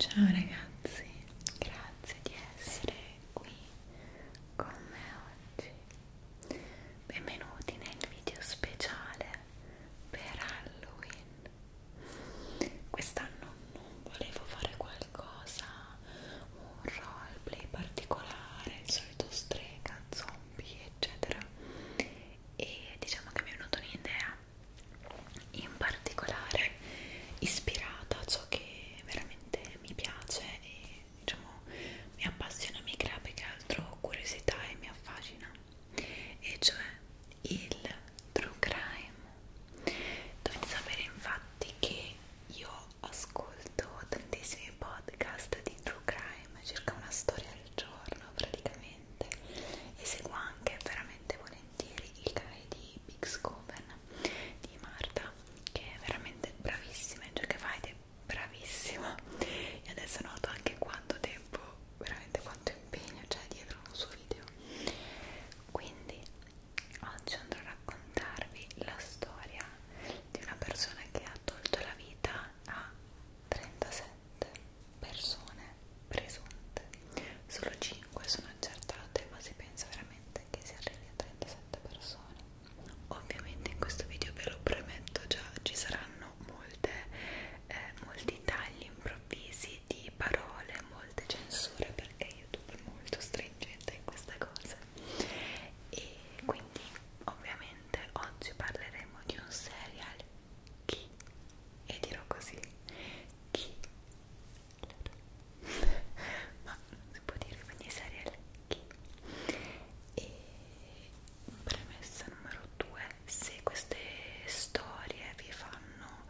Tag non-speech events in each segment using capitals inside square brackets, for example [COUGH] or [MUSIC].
Ciao ragazzi, grazie di essere qui con me oggi benvenuti nel video speciale per Halloween quest'anno non volevo fare qualcosa un roleplay particolare il solito strega, zombie eccetera e diciamo che mi è venuta un'idea in particolare ispirata a ciò che veramente veramente mi piace e diciamo mi appassiona, mi crea più che altro curiosità e mi affascina e cioè il true crime dovete sapere infatti che io ascolto tantissimi podcast di true crime circa una storia al giorno praticamente e seguo anche veramente volentieri il canale di Big Scoven di Marta che è veramente bravissima in ciò che fa ed è bravissima e adesso noto anche quanto tempo veramente quanto impegno c'è dietro un suo video quindi oggi andrò a raccontarvi la storia di una persona che ha tolto la vita a 37 persone presunte solo 5 sono accertate ma si pensa veramente veramente che si arrivi a 37 persone ovviamente in questo video ve lo prometto già ci saranno molte, eh, molti tagli improvvisi di parole molte censure perché youtube è molto stringente in queste cose e quindi ovviamente oggi parleremo di un serial chi e dirò così chi [LAUGHS] ma non si può dire quindi serial killer e premessa numero 2 se queste storie vi fanno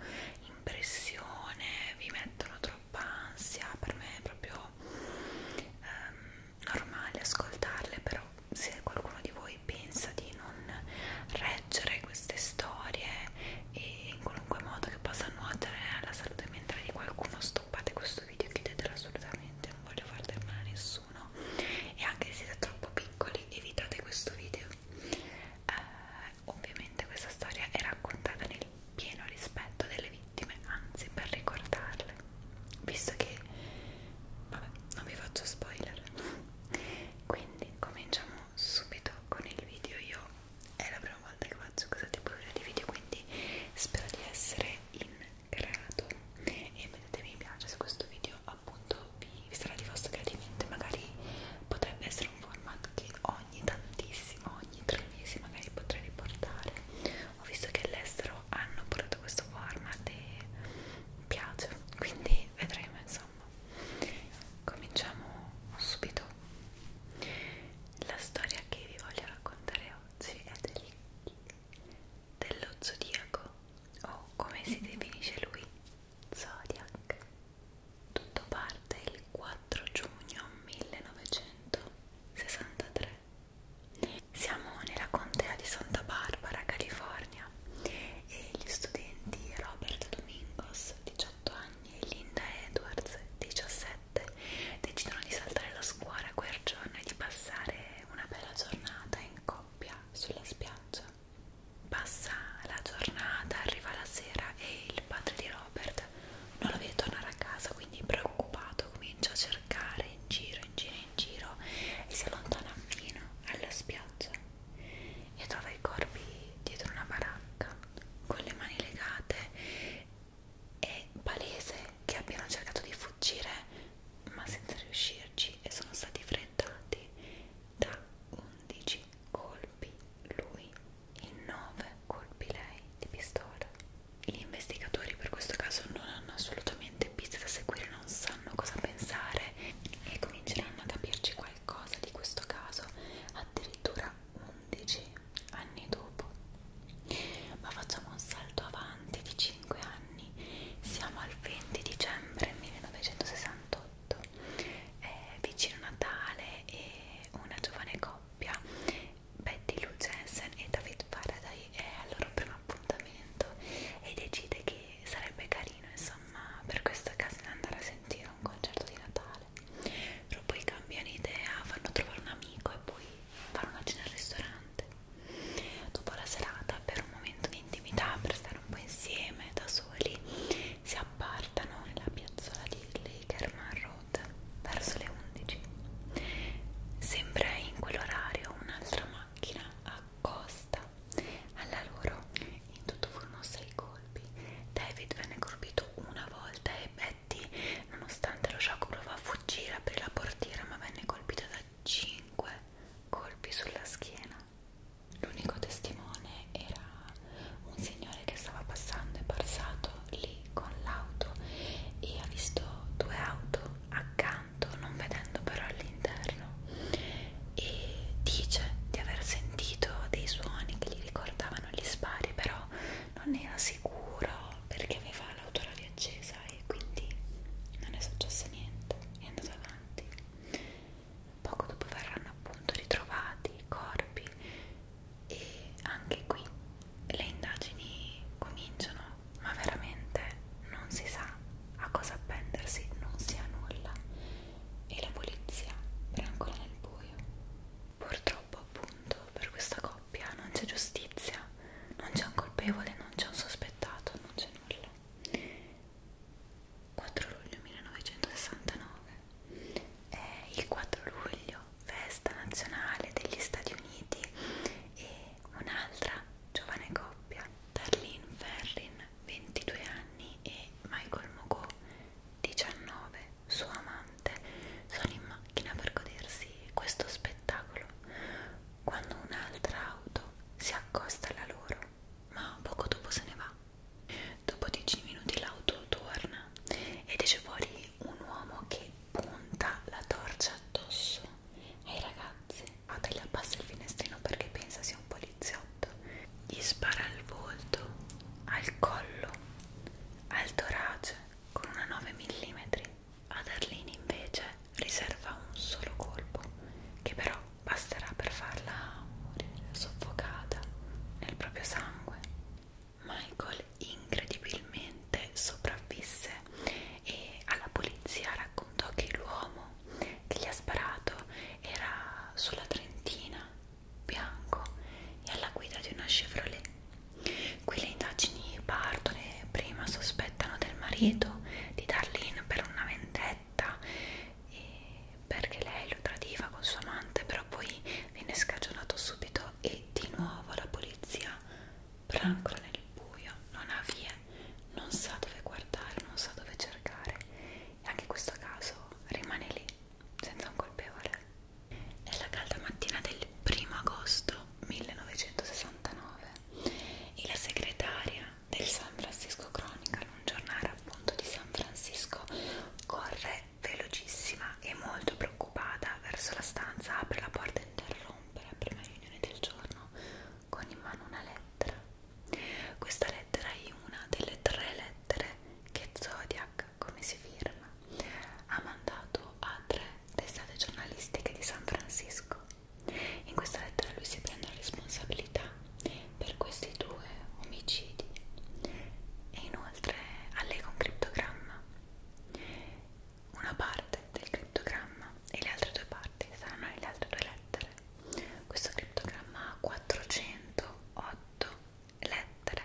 impressione vi mettono troppa ansia per me è proprio ehm, normale ascoltarle però se qualcuno di voi pensa di non reggere queste storie e in qualunque modo che possa nuotere alla salute mentale di qualcuno stoppate questo video chiudetelo assolutamente non voglio far del male a nessuno e anche se siete troppo piccoli evitate questo video eh, ovviamente questa storia è raccontata nel pieno rispetto delle vittime anzi per ricordarle visto che vabbè non vi faccio spoiler quindi cominciamo subito con il video io è la prima volta che faccio questa tipologia di video quindi spero di essere in grado e mettete mi piace se questo video appunto vi, vi sarà di vostro gradimento magari potrebbe essere un format che ogni tantissimo ogni tre mesi magari potrei riportare ho visto che all'estero hanno portato questo format e mi piace quindi vedremo insomma cominciamo subito la storia che vi voglio raccontare oggi è del, dello zodiaco, o come si definisce lui, Zodiac. Tutto parte il 4 giugno 1963. Siamo nella contea di Santa Barbara, California, e gli studenti Robert Domingos, 18 18 anni e Linda Edwards, 17, decidono di saltare la scuola quel giorno e di passare una bella giornata in coppia sulla spiaggia. Passa la giornata, arriva la sera e il padre di Robert non lo vede tornare a casa, quindi preoccupato comincia a cercare in giro, in giro, in giro e si allontana fino alla spiaggia e trova i corpi dietro una baracca con le mani legate è palese che abbiano cercato di fuggire ma senza riuscirci e sono stati freddati da 11 colpi lui e 9 colpi lei di pistola gli investigatori per questo caso non hanno assolutamente piste da seguire non sanno cosa pensare e cominceranno a capirci qualcosa di questo caso addirittura 11 anni dopo ma facciamo un salto avanti di 5 anni siamo al 20 dicembre 1968 è vicino Natale e una giovane coppia Betty Lou Jensen e David Faraday è al loro primo appuntamento e decide che sarebbe carino insomma per questa casina andare a sentire un concerto di Natale male però poi cambiano idea fanno trovare un amico e poi fanno una cena al ristorante dopo la serata per un momento di intimità per stare un po' insieme da soli si appartano nella piazzola di Lakerman Road verso le 11 sembra in quell'orario un'altra macchina accosta alla loro in tutto furono sei colpi. David venne colpito una volta e Betty, nonostante lo shock, provò a fuggire, aprì la portiera, ma venne colpita da 5 colpi sulla schiena. L'unico testimone era un signore che stava passando e passato lì con l'auto e ha visto due auto accanto, non vedendo però all'interno e dice di aver sentito dei suoni che gli ricordavano gli spari però non era sicuro perché aveva l'autoradio accesa e quindi non è successo niente è andato avanti poco dopo verranno appunto ritrovati i corpi e anche qui le indagini cominciano ma veramente non si sa a cosa appendersi non si ha nulla e la polizia brancola nel buio. Purtroppo appunto per questa coppia non c'è giustizia, non c'è un colpevole, non c'è un sospettato, non c'è nulla. 4 luglio 1969 è il 4 luglio, festa nazionale degli Stati Uniti e un'altra giovane coppia, Darlene Ferrin 22 anni e Michael Mogo 19, suo amante, sono in macchina per godersi questo spettacolo quando un'altra auto si accosta alla loro, ma poco dopo se ne va. Dopo 10 minuti l'auto torna ed esce fuori un uomo che punta la torcia addosso ai ragazzi. Fate gli abbassa il finestrino perché pensa sia un po' di poliziotto gli spara al volto, al collo, al torace con una 9 mm. Ad Arlene invece riserva un solo colpo che però basterà per farla morire soffocata nel proprio sangue. Michael incredibilmente sopravvisse e alla polizia raccontò che l'uomo che gli ha sparato era sulla Trentina, bianco, e alla guida di una Chevrolet. Qui le indagini partono e prima sospettano del marito di dargli in per una vendetta perché lei lo tradiva con suo amante, però poi viene scagionato subito e di nuovo la polizia brancola nel buio, non ha vie, non sa dove guardare, non sa dove cercare e anche questo caso rimane lì senza un colpevole. È la calda mattina del primo agosto 1969 e la segretaria del San Francisco Chronicle, un giornale appunto di San Francisco, corre velocissima e molto preoccupata verso la stanza, apre la porta e interrompe la prima riunione del giorno con in mano una lettera questa lettera è una delle tre lettere che Zodiac, come si firma, ha mandato a tre testate giornalistiche di San Francisco. In questa lettera lui si prende la responsabilità per questi due omicidi e inoltre allega un criptogramma. Una parte del criptogramma e le altre due parti saranno nelle altre due lettere. Questo criptogramma ha 408 lettere.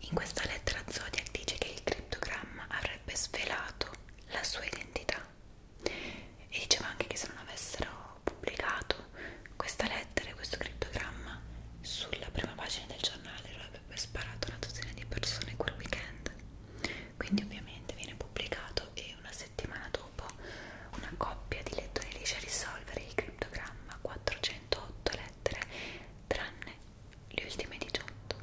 In questa lettera Zodiac dice che il criptogramma avrebbe svelato la sua identità e diceva anche che se non avessero pubblicato questa lettera e questo criptogramma sulla prima pagina del giornale lo avrebbe sparato una dozzina di persone quel weekend. Quindi ovviamente viene pubblicato e poi una settimana dopo una coppia di lettori riesce a risolvere il criptogramma 408 lettere tranne le ultime 18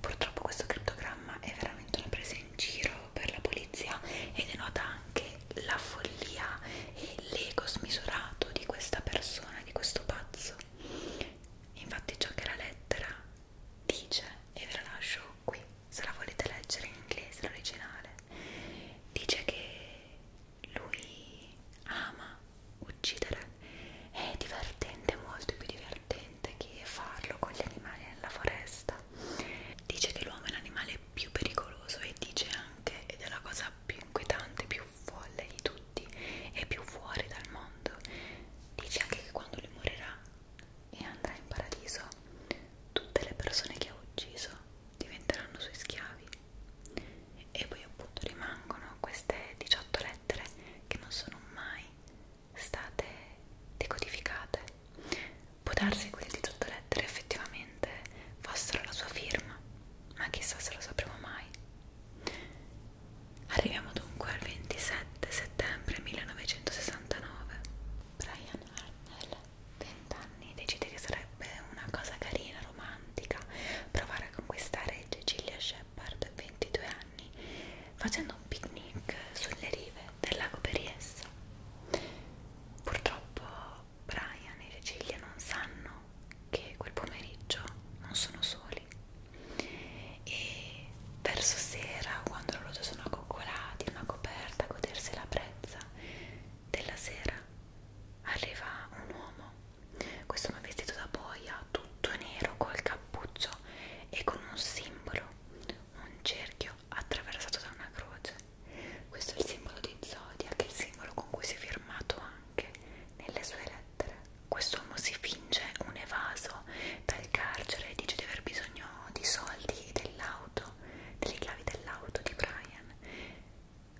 purtroppo questo criptogramma è veramente una presa in giro per la polizia e denota anche la follia e l'ego smisurato di questa persona, di questo pazzo infatti ciò che la lettera dice e ve la lascio qui se la volete leggere in inglese l'originale dice che lui ama uccidere è divertente, molto più divertente che farlo con gli animali nella foresta dice che l'uomo è l'animale più pericoloso e dice anche, ed è la cosa più inquietante, più folle di tutti e più fuori dal mondo dice anche che quando lui morirà e andrà in paradiso. Tutte le persone che ha ucciso diventeranno suoi schiavi. E poi appunto rimangono queste 18 lettere che non sono mai state decodificate. Può darsi quelle 18 lettere effettivamente fossero la sua firma, ma chissà se lo sapremo mai. Arriviamo dunque al 27 settembre 1969 Brian Harnell, 20 anni, decide che sarebbe una cosa carina, romantica, provare a conquistare Cecilia Shepard, 22 anni, facendo un picnic sulle rive del lago Periessa. Purtroppo Brian e Cecilia non sanno che quel pomeriggio non sono soli e verso sera, quando loro sono accoccolati, una coperta, godersi la brezza della sera, arriva un uomo. Questo è un vestito da boia, tutto nero, col cappuccio e con un simbolo, un cerchio attraversato da una croce. Questo è il simbolo di Zodiac, il simbolo con cui si è firmato anche nelle sue lettere. Quest'uomo si finge un evaso uscito dal carcere e dice di aver bisogno di soldi e dell'auto, delle chiavi dell'auto di Brian.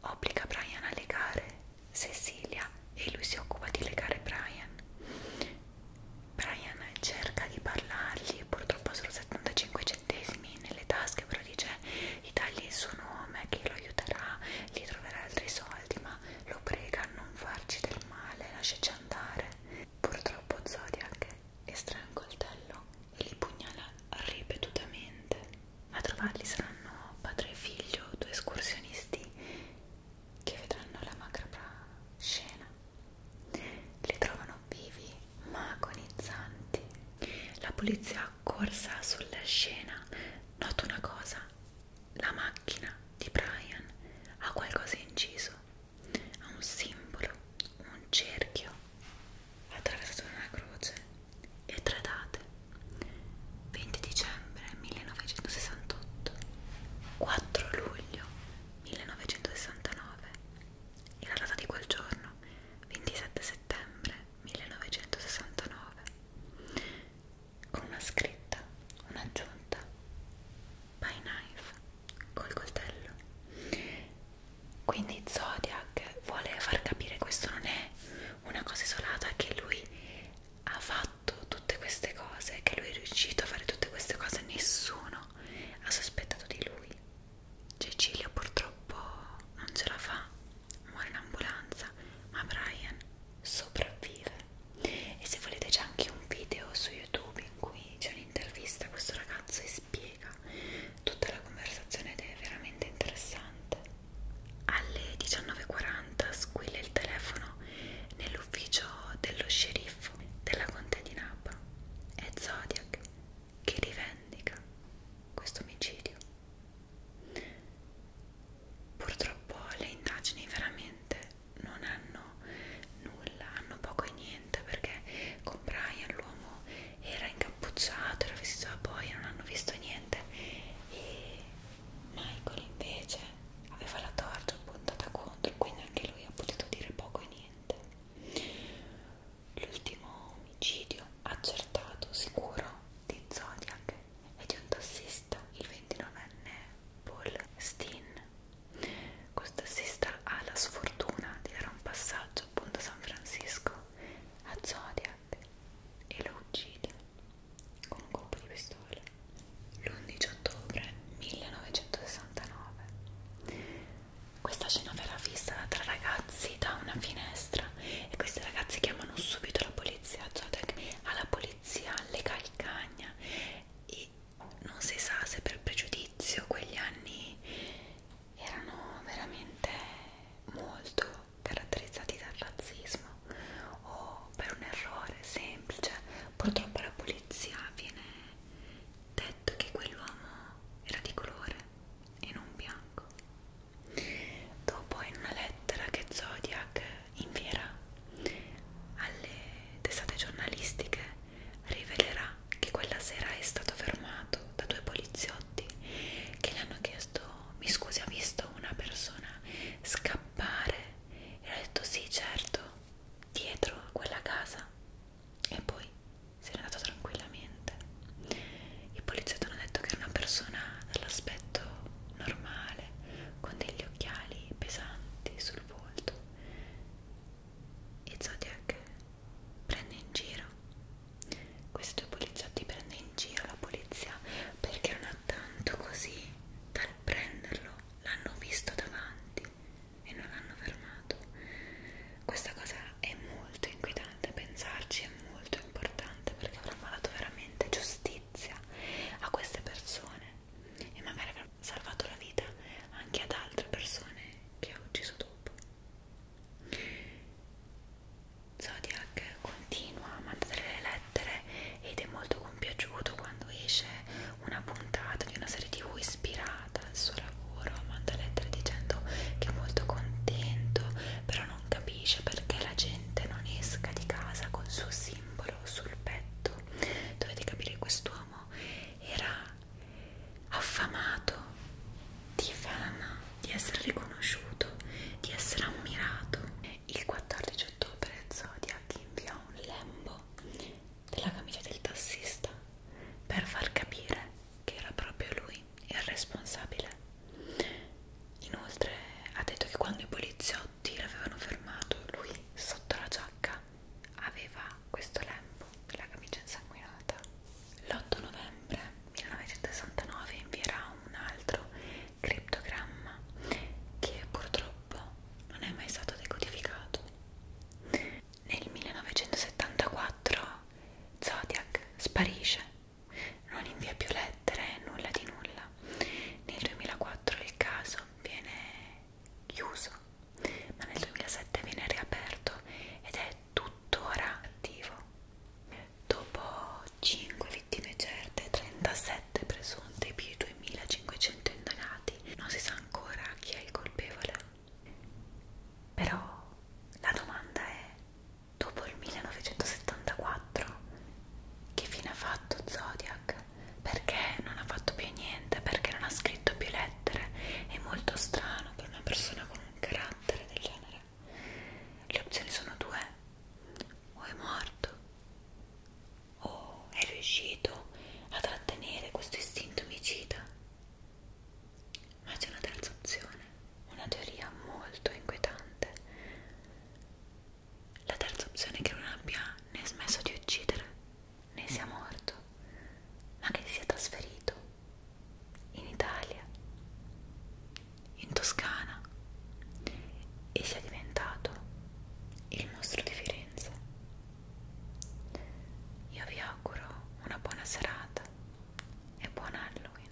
Obbliga Brian a legare Cecilia e lui si occupa di legare Brian. Brian cerca di parlargli, purtroppo solo 75 centesimi nelle tasche, però dice di dargli il suo nome che lo aiuterà, gli troverà altri soldi, ma lo prega a non farci del male, lasciaci andare. Purtroppo Zodiac estrae un coltello e li pugnala ripetutamente. A trovarli saranno padre e figlio, due escursionisti che vedranno la macabra scena. Li trovano vivi ma agonizzanti. La polizia accorsa sulla scena nota una cosa. La macchina di Brian ha qualcosa inciso ha un simbolo, un cerchio attraversato da una croce e tre date 20 dicembre 1968 4 luglio 1969 e la data di quel giorno 27 settembre 1969 con una scritta, un'aggiunta by knife col coltello quindi Zodiac vuole far capire questo non è una cosa isolata che lui ha fatto tutte queste cose che lui è riuscito a fare tutte queste cose nessuno ha sospettato di lui Cecilio purtroppo non ce la fa muore in ambulanza ma Brian sopravvive e se volete c'è anche un video su youtube in cui c'è un'intervista a questo ragazzo e spiega tutta la conversazione ed è veramente interessante alle 19.40 squilla il telefono nell'ufficio dello sceriffo della contea di Napa è Zodiac che rivendica questo omicidio purtroppo le indagini veramente non hanno nulla, hanno poco e niente perché con Brian l'uomo era incappucciato, era vestito da boia, non hanno visto niente e Michael invece aveva la torcia puntata contro, quindi anche lui ha potuto dire poco e niente. L'ultimo omicidio accertato sicuro di Zodiac è di un tassista, il 29enne Paul Steen questa sista ha la sfortuna di dare un passaggio appunto a San Francisco a Zodiac e lo uccide con un colpo di pistola l'11 ottobre 1969. Questa scena verrà vista da tre ragazzi da una finestra e questi ragazzi chiamano subito la polizia. Zodiac alla polizia alle calcagna e non si sa se per pregiudizio quegli anni erano veramente molto caratterizzati dal razzismo o per un errore semplice purtroppo alla polizia viene detto che quell'uomo era di colore e non bianco dopo in una lettera che Zodiac in fiera alle testate giornalistiche rivelerà che quella sera è stato fermato da due poliziotti che gli hanno chiesto mi scusi ha visto una persona scappare e ha detto sì certo dietro a quella casa e poi se n'è andato tranquillamente i poliziotti hanno detto che era una persona dall'aspetto normale con degli occhiali pesanti sul volto e Zodiac prende in giro questi due poliziotti prende in giro la polizia perché non ha tanto così dal prenderlo l'hanno visto davanti e non l'hanno fermato questa cosa è molto inquietante pensarci è molto importante perché avremmo dato veramente giustizia a queste persone e magari avrà salvato la vita anche ad altre persone che ha ucciso dopo. Zodiac continua a mandare le lettere ed è molto compiaciuto quando esce una puntata di una serie tv ispirata al suo lavoro, manda lettere dicendo che è molto contento, però non capisce perché la gente non esca di casa col suo simbolo sul petto Dovete capire che quest'uomo era affamato di fama, di essere riconosciuto, di essere ammirato. Il 14 ottobre Zodiac inviò un lembo della camicia del tassista per far capire che era proprio lui il responsabile. Inoltre ha detto che quando i poliziotti l'avevano fermato, lui sotto la giacca aveva questo lembo della camicia insanguinata. L'8 novembre 1969 invierà un altro criptogramma che purtroppo non è mai stato decodificato. Nel 1974 Zodiac sparisce, non invia più lettere, nulla di nulla. Italia. Nel 2004 il caso viene chiuso, ma nel 2007 viene riaperto ed è tuttora attivo. Dopo 5 vittime certe, 37 presunte più 2500 indonati, non si sa ancora chi è il colpevole. Però la domanda è, dopo il 1974 che fine ha fatto Zodiac? Perché non ha fatto più niente? Perché non ha scritto più lettere? È molto strano per una persona con un carattere del genere. Le opzioni sono due: o è morto, o è riuscito a trattenere questo istinto omicida. Ma c'è una terza opzione, una teoria molto inquietante. La terza opzione è che non abbia né smesso di uccidere né sia morto, ma che sia trasferito in Italia, in Toscana e sia diventato il mostro di Firenze. Io vi auguro una buona serata e buon Halloween.